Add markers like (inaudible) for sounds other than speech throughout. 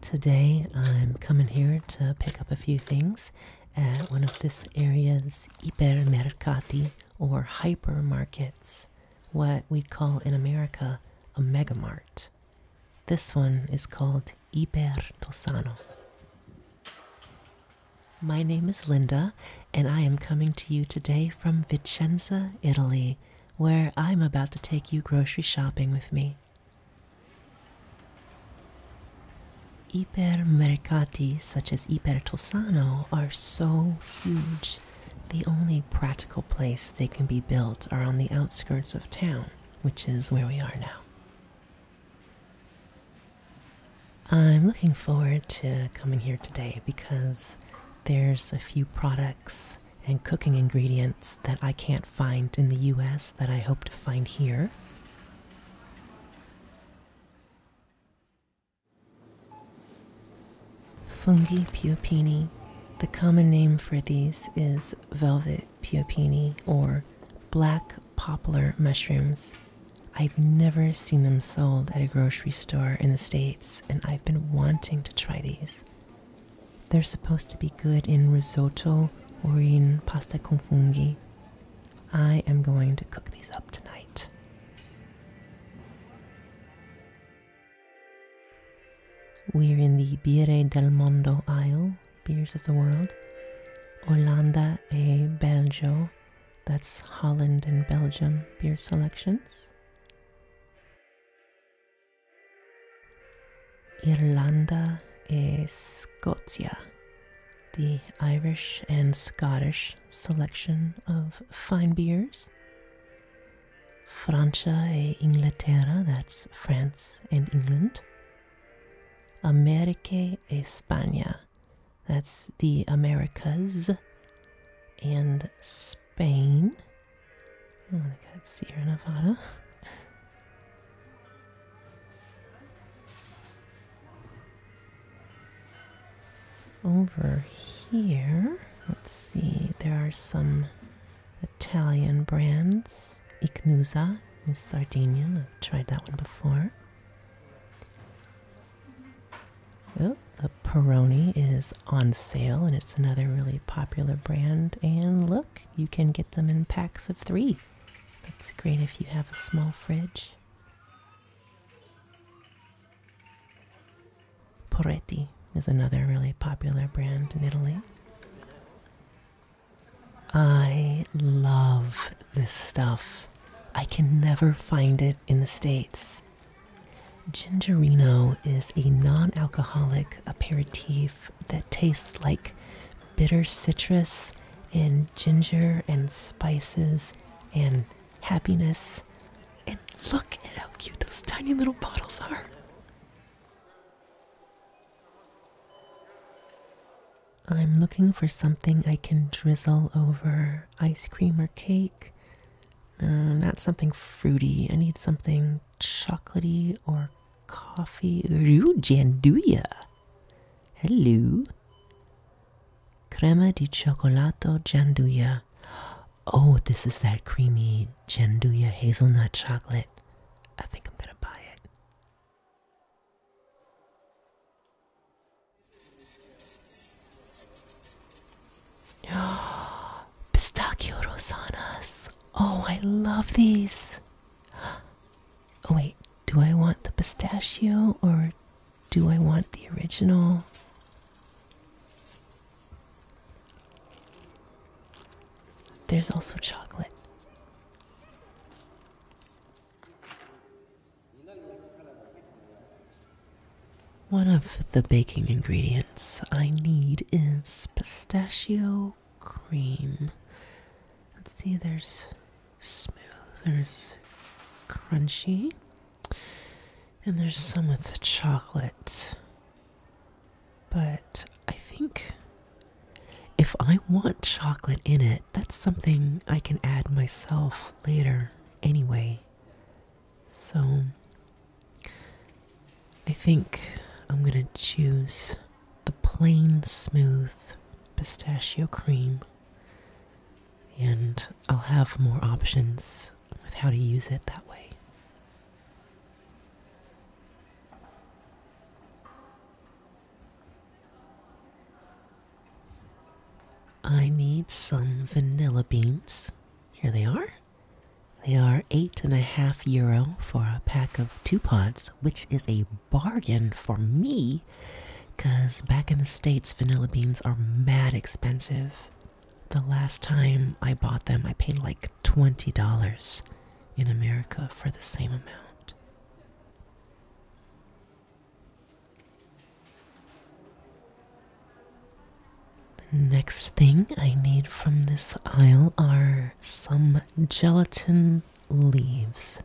Today I'm coming here to pick up a few things at one of this area's hipermercati or hypermarkets, what we'd call in America a megamart. This one is called Iper Tosano. My name is Linda and I am coming to you today from Vicenza, Italy, where I'm about to take you grocery shopping with me. Ipermercati such as Hyper Ipertosano are so huge. The only practical place they can be built are on the outskirts of town, which is where we are now. I'm looking forward to coming here today because there's a few products and cooking ingredients that I can't find in the US that I hope to find here. Fungi piopini. The common name for these is velvet piopini or black poplar mushrooms. I've never seen them sold at a grocery store in the States, and I've been wanting to try these. They're supposed to be good in risotto or in pasta con funghi. I am going to cook these up tonight. We're in the Biere del Mondo aisle, beers of the world. Olanda e eh, Belgio that's Holland and Belgium beer selections. Irlanda e Scotia, the Irish and Scottish selection of fine beers. Francia e Inglaterra, that's France and England. America e España, that's the Americas and Spain. Oh my god, Sierra Nevada. Over here, let's see, there are some Italian brands. Ignusa is Sardinian, I've tried that one before. Oh, the Peroni is on sale and it's another really popular brand. And look, you can get them in packs of three. That's great if you have a small fridge. Porretti is another really popular brand in Italy. I love this stuff. I can never find it in the States. Gingerino is a non alcoholic aperitif that tastes like bitter citrus and ginger and spices and happiness. And look at how cute those tiny little bottles are. I'm looking for something I can drizzle over ice cream or cake. Um, not something fruity. I need something chocolatey or coffee. Ooh, janduia. Hello. Crema di cioccolato janduia. Oh, this is that creamy janduia hazelnut chocolate. I think I'm going to buy it. (gasps) Pistachio rosanas. Oh, I love these. (gasps) Oh, wait, do I want the pistachio or do I want the original? There's also chocolate. One of the baking ingredients I need is pistachio cream. Let's see, there's smooth, there's crunchy, and there's some with the chocolate. But I think if I want chocolate in it, that's something I can add myself later anyway. So I think I'm going to choose the plain smooth pistachio cream, and I'll have more options with how to use it that way. I need some vanilla beans. Here they are. They are eight and a half euro for a pack of two pots, which is a bargain for me because back in the States, vanilla beans are mad expensive. The last time I bought them, I paid like $20 in America for the same amount. The next thing I need from this aisle are some gelatin leaves.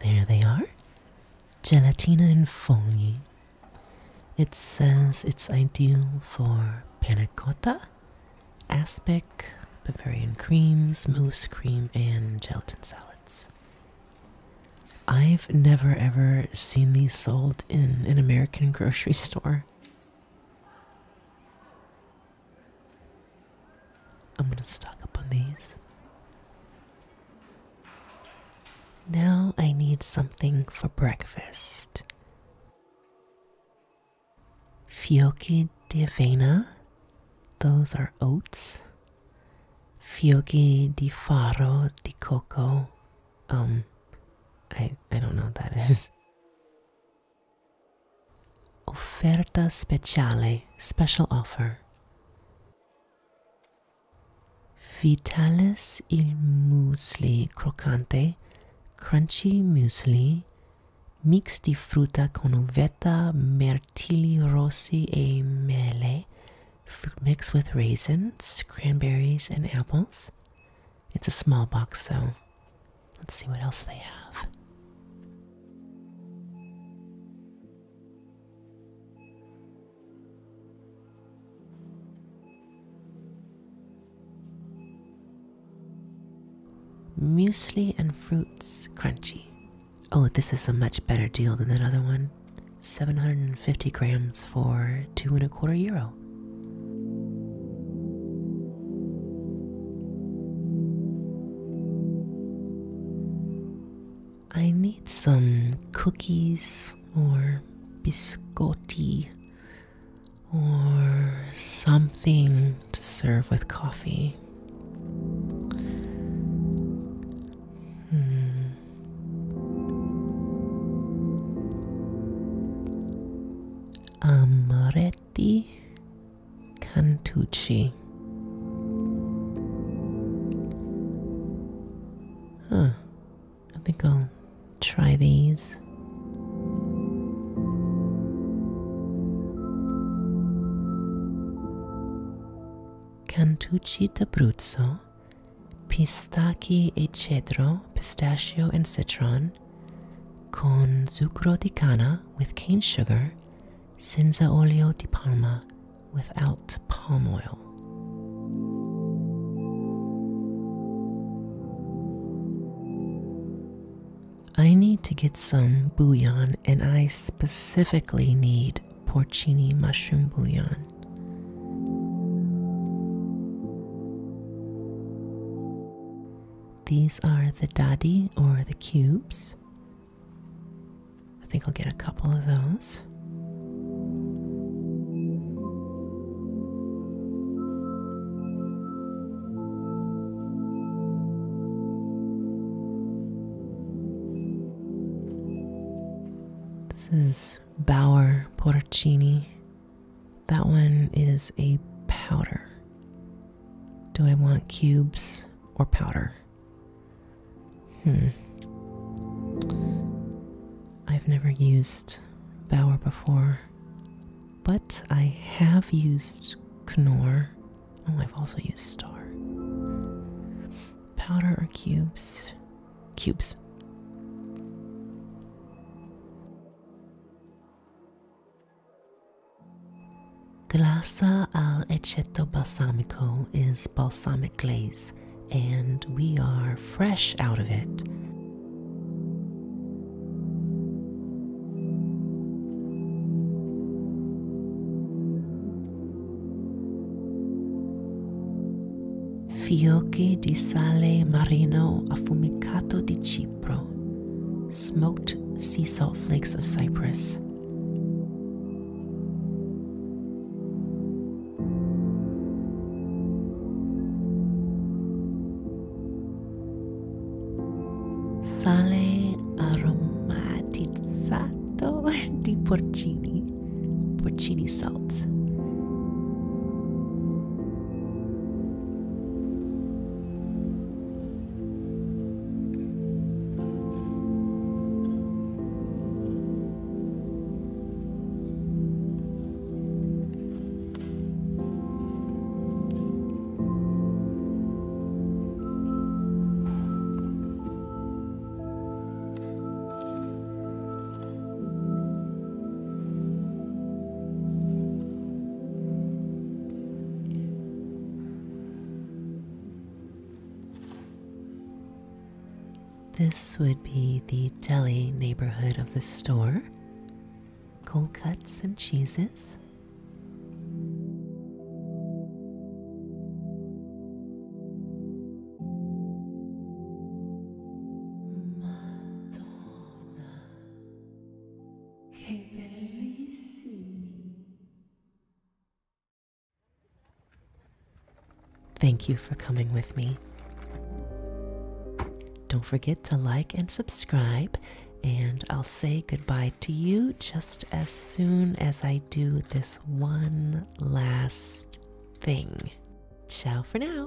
There they are. Gelatina in folie. It says it's ideal for panna cotta, aspic, Bavarian creams, mousse cream, and gelatin salads. I've never ever seen these sold in an American grocery (laughs) store. I'm going to stock up on these. Now I need something for breakfast. Fiocchi di avena. Those are oats. Fiocchi di faro di coco. Um, I, I don't know what that is. Offerta speciale, special offer. Vitalis il muesli croccante, crunchy muesli, mix di frutta con uvetta, mirtilli rossi e mele, fruit mix with raisins, cranberries, and apples. It's a small box though. Let's see what else they have. Muesli and fruits crunchy. Oh, this is a much better deal than that other one. 750 grams for two and a quarter euro. I need some cookies or biscotti or something to serve with coffee. Hmm. Amaretto, Cantucci. Huh, I think I'll try these. Cantucci d'Abruzzo pistaki e cedro, pistachio and citron, con zucchero di canna with cane sugar, senza olio di palma without palm oil. I need to get some bouillon, and I specifically need porcini mushroom bouillon. These are the dadi or the cubes. I think I'll get a couple of those. This is Bauer Porcini. That one is a powder. Do I want cubes or powder? Hmm. I've never used Bauer before, but I have used Knorr. Oh, I've also used Star powder or cubes? Cubes. Glassa al aceto balsamico is balsamic glaze, and we are fresh out of it. Fiocchi di sale marino affumicato di Cipro, smoked sea salt flakes of Cyprus. Sale aromatizzato (laughs) di porcini. porcini salt. This would be the deli neighborhood of the store. Cold cuts and cheeses. Thank you for coming with me. Don't forget to like and subscribe, and I'll say goodbye to you just as soon as I do this one last thing. Ciao for now.